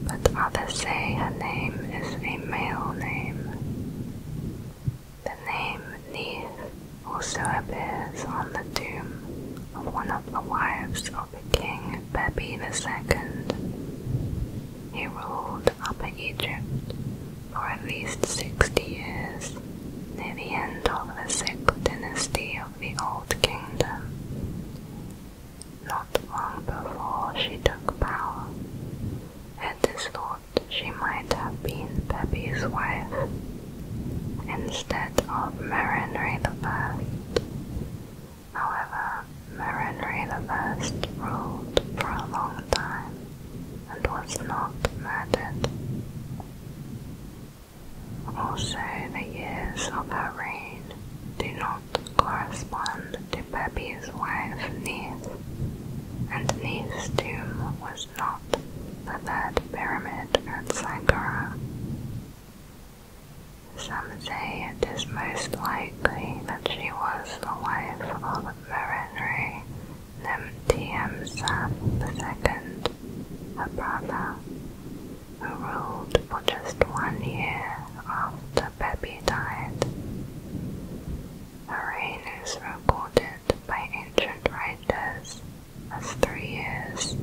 But others say her name is a male name. The name Neith also appears on the tomb of one of the wives of the king Pepi II. He ruled Upper Egypt for at least 60 years, near the end of the sixth dynasty of the Old Kingdom. Not long before she took power, it is thought she might have been Pepi's wife instead of Marinri I. However, Marinri I ruled for a long time and was not murdered. Also, the years of her reign do not correspond to Pepi's wife Neith, and Neith's tomb was not the third pyramid at Saqqara, some say it is most likely that she was the wife of Merenre Nemtiemsaf II, her brother, who ruled for just one year after Pepi died. Her reign is recorded by ancient writers as three years,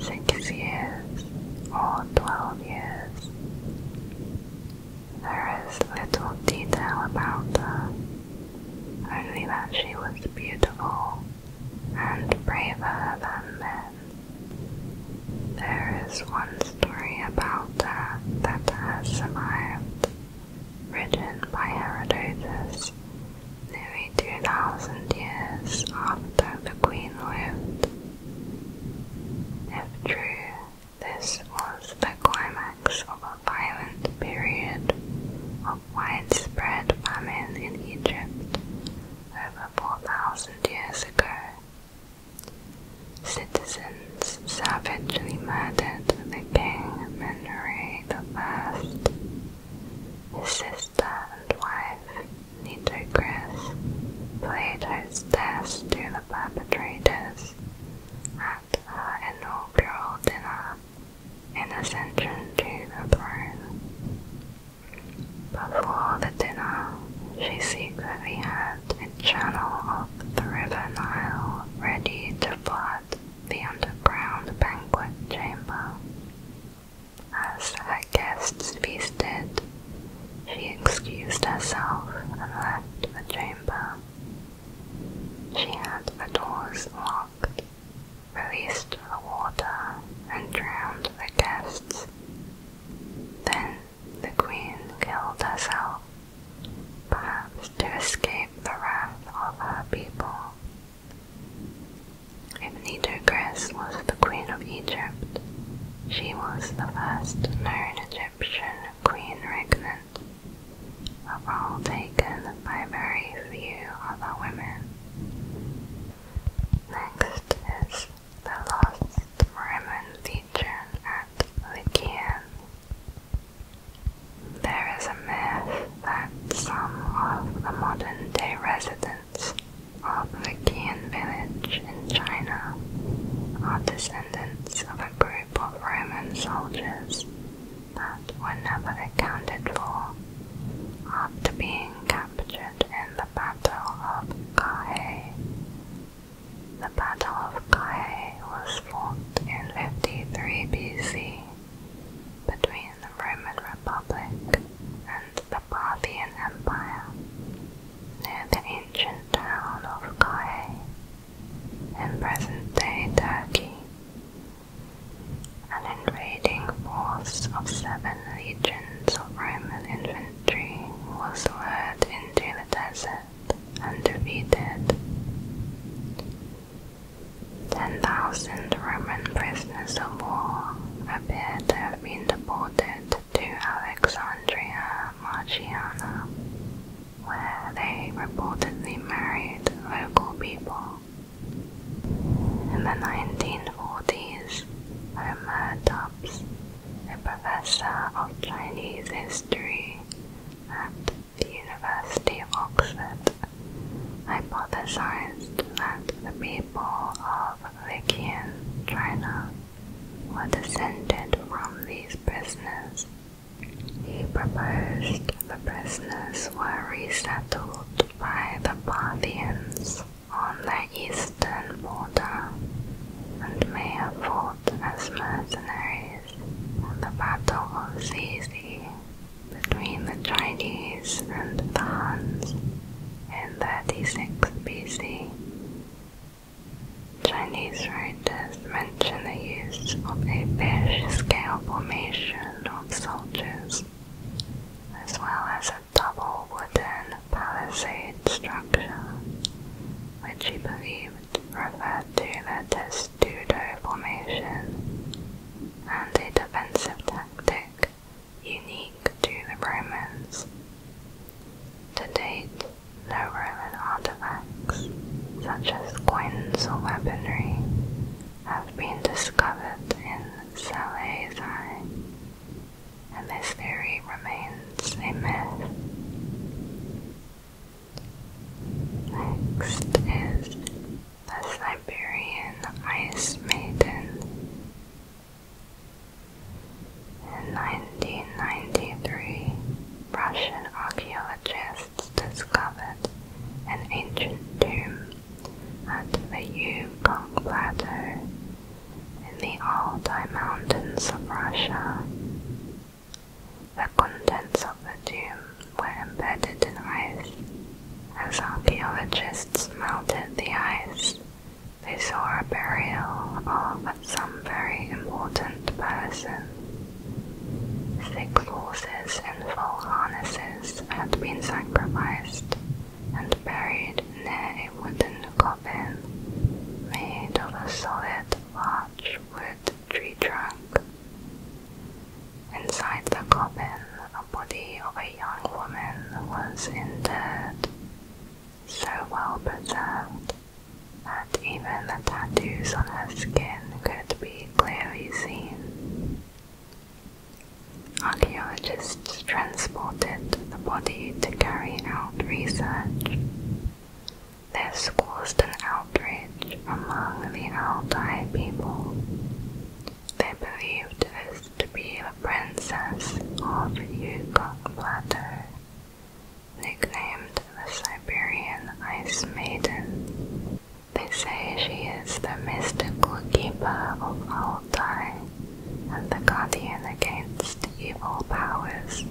six years, or twelve years. There is little detail about her, only that she was beautiful and braver than men. There is one story about her that has survived, written by Herodotus nearly 2,000 years after the Queen lived. If true, this was the climax of a violent period of widespread famine in Egypt over 4,000 years ago. Citizens savagely murdered the king Menere the his sister and wife, Nitocris, played hostess to the perpetrators at her inaugural dinner in Ascension to the Throne. Before the dinner, she secretly had a channel of the River Nile ready to flood the underground banquet chamber. As her guests feasted, she excused herself and left the chamber. She had the doors locked, released the water, and drowned the guests. Then the queen killed herself, perhaps to escape the wrath of her people. If Nitocris was the queen of Egypt, she was the first known Egyptian queen regnant, a role taken by very few other women. Next is the last Roman legion at Lycian. There is a myth that some of the modern day residents of the Qian village in China are descendants of a group of Roman soldiers that were never accounted for after being captured in the Battle of Carhae. The Battle of Carhae was fought in 53 BC between the Roman Republic and the Parthian Empire, near the ancient town of Kayh in present-day Turkey. An invading force of seven legions of Roman infantry was led into the desert and defeated. 10,000 Roman prisoners of war appeared there been deported to Alexandria Margiana, where they reportedly married local people. In the 1940s, Homer Tubbs, a professor of Chinese history at the University of Oxford, hypothesized that the people of Viking China were descended from these prisoners. He proposed the prisoners were resettled by the Parthians on their eastern border and may have fought as mercenaries at the Battle of Sisi between the Chinese and the Huns in 36 BC. Chinese writers mention the use of a fish-scale formation of soldiers, as well as a double wooden palisade structure, which he believed referred to the testudo formation, and a defensive tactic unique to the Romans. To date, no Roman artifacts, such as coins or weaponry, have been discovered in Salazai, and this theory remains a myth. Next is the Siberian Ice Maiden, in 1993, Russian archaeologists discovered an ancient tomb at the Yukon Plateau in the Altai Mountains of Russia. The contents of the tomb were embedded in ice as archaeologists melted the ice they saw a burial of some very important person. Six horses in full harnesses had been sacrificed and buried in a wooden coffin made of a solid large wood tree trunk. Inside the coffin the body of a young woman was in interred, so well preserved that even the tattoos on her skin could be clearly seen. Archaeologists transported the body to carry out research. This caused an outrage among the Altai people. They believed this to be the princess of Yukon Plateau, nicknamed the Siberian Ice Maiden. They say she is the mystical keeper of Altai and the guardian against evil powers.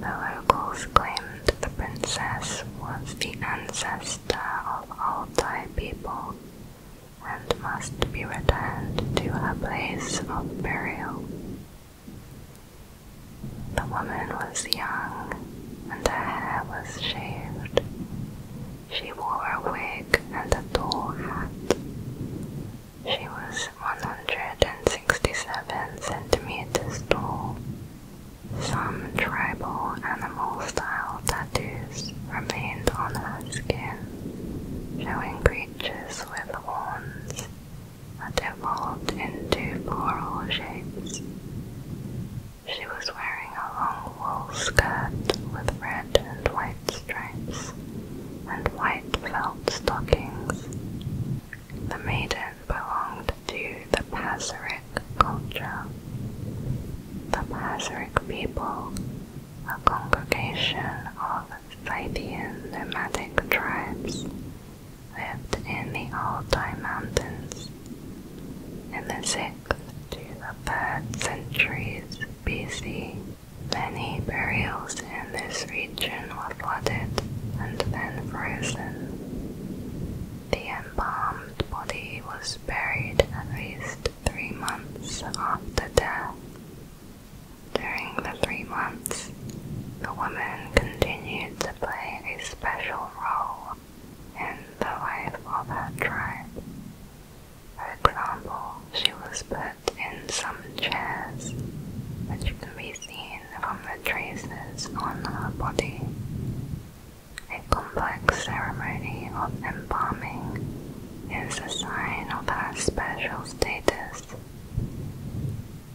The locals claimed the princess was the ancestor of Altai people and must be returned to a place of burial. The woman was young, and her hair was shaved. She wore a wig and a tall hat. She was 167 centimeters tall. Some tribal animal style tattoos remained on her skin, showing creatures with horns that evolved into floral shapes. She was wearing a long wool skirt with red and white stripes and white felt stockings. The maiden belonged to the Paseric culture. The Paseric people a congregation of Scythian nomadic tribes lived in the Altai Mountains. In the 6th to the 3rd centuries BC, many burials in this region were flooded and then frozen. The embalmed body was buried at least three months after death. During the three months, the woman continued to play a special role in the life of her tribe. For example, she was put in some chairs, which can be seen from the traces on her body. A complex ceremony of embalming is a sign of her special status.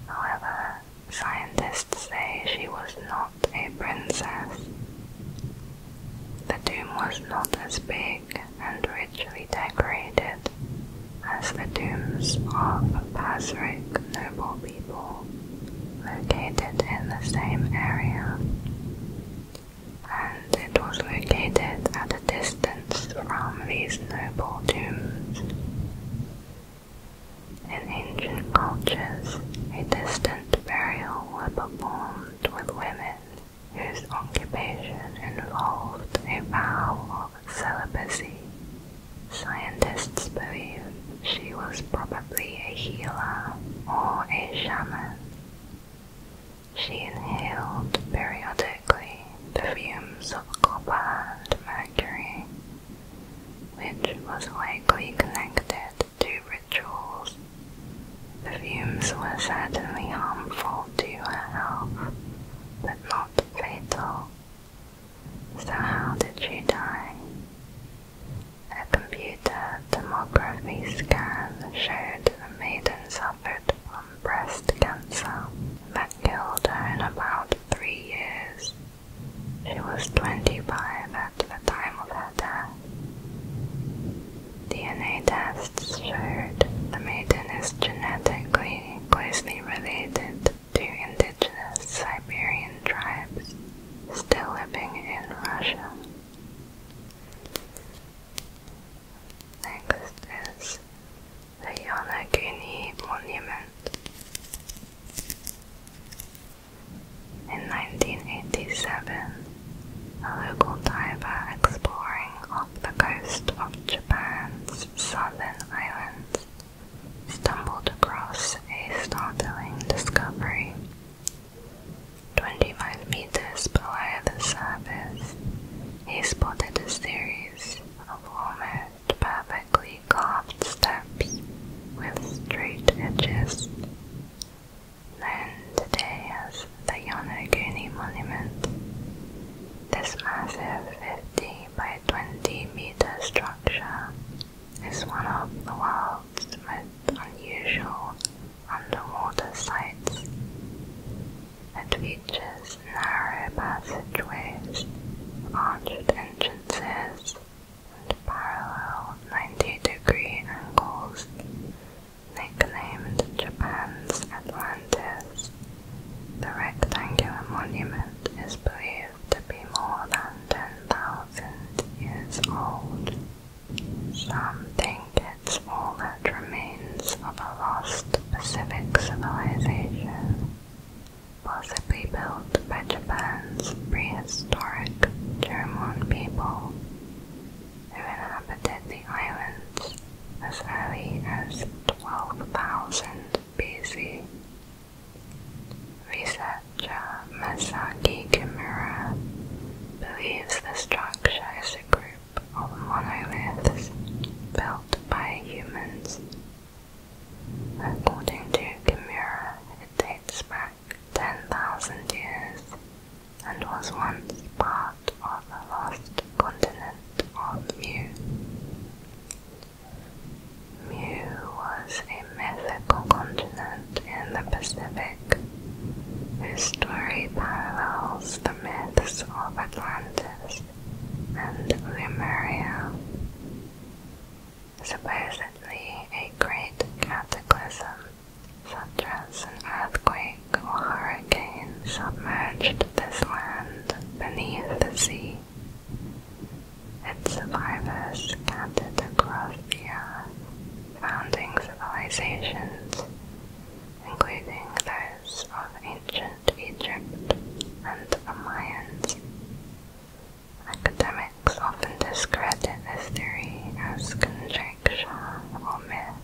However, scientists say she was not a princess. The tomb was not as big and richly decorated as the tombs of Pasric noble people located in the same area and it was located at a distance from these noble tombs. In ancient cultures, a distant burial was performed with women whose occupation involved a vow of celibacy. Scientists believe she was probably a healer or a shaman. She inhaled periodically the fumes of copper and mercury, which was likely connected to rituals. Perfumes were certainly harmful to her health, but not fatal. So how did she die? A computer tomography scan showed the maiden suffered from breast cancer that killed her in about three years. She was 25 at the time of her death. DNA tests showed the maiden is genetically closely related to indigenous Siberian tribes still living in Russia. Next is the Yonaguni Monument. In 1987, a local diver exploring off the coast of Japan's southern islands stumbled across a startling discovery. 25 meters below the surface, he spotted a series of almost perfectly carved steps with straight edges, known today as the Yonaguni Monument. This massive 50 by 20 meter structure is one of the world's most unusual the water sites. It features narrow passageways, arched entrances, and parallel 90-degree angles, nicknamed Japan's Atlantis. The rectangular monument is believed to be more than 10,000 years old. Some think it's all that remains of a lost Pacific civilization, possibly built by Japan's prehistoric Jomon people, who inhabited the islands as early as 12,000 BC. Researcher Masaki Kimura believes this structure is a group group of monoliths built by humans. According to Kimura, it dates back 10,000 years and was once part of the lost continent of Mu. Mu was a mythical continent in the Pacific her story parallels the myths of Atlantis and Lemuria. Supposedly, a great cataclysm, such as an earthquake or hurricane, submerged this land beneath the sea. Its survivors scattered across the earth, founding civilizations including those of ancient Egypt and the Mayans. Academics often discredit this theory as conjecture or myth.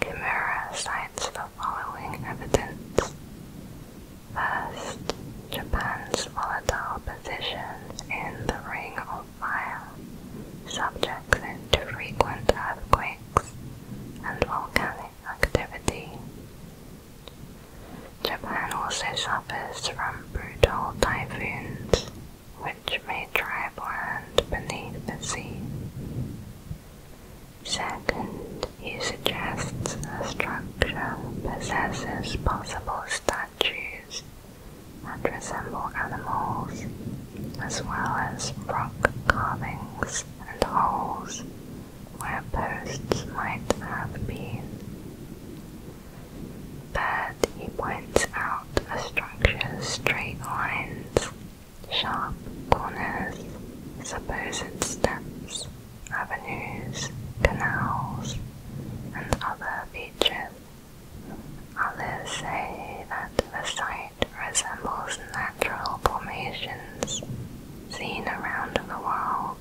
Kimura cites the following evidence. First, Japan's volatile position in the Ring of Fire subjects it to frequent earthquakes and volcanic activity. Japan also suffers from brutal typhoons, which may drive land beneath the sea. Second, he suggests the structure possesses possible statues that resemble animals as well as rock carvings and holes where posts might have been. But he points out a structure's straight lines, sharp corners, supposed steps, avenues, canals, and other features. Others say that the site site resembles natural formations seen around the world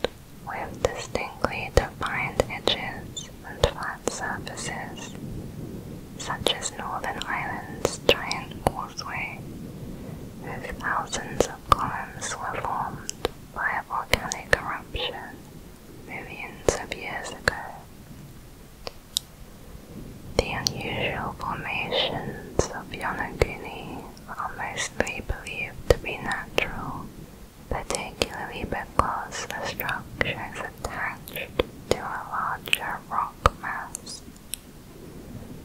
with distinctly defined edges and flat surfaces, such as Northern Ireland's Giant Causeway, whose thousands of columns were formed by a volcanic eruption millions of years ago. The unusual formations of Yonaguni are mostly believed to be natural, particularly because the structures are attached to a larger rock mass.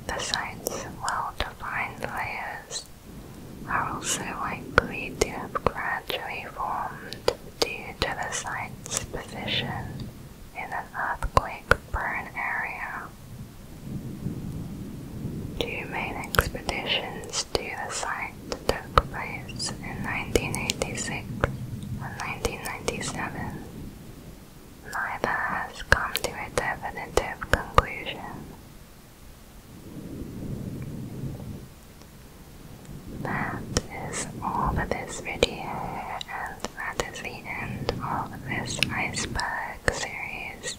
The site's well-defined layers are also likely to have gradually formed due to the site's position in an earthquake prone area. Two main expeditions to the site took place in 1986 and 1997. Neither has come to a definitive conclusion. That is all for this video and that is the end of this iceberg series.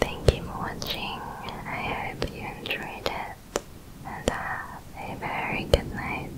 Thank you for watching. I hope you enjoyed it. And have a very good night.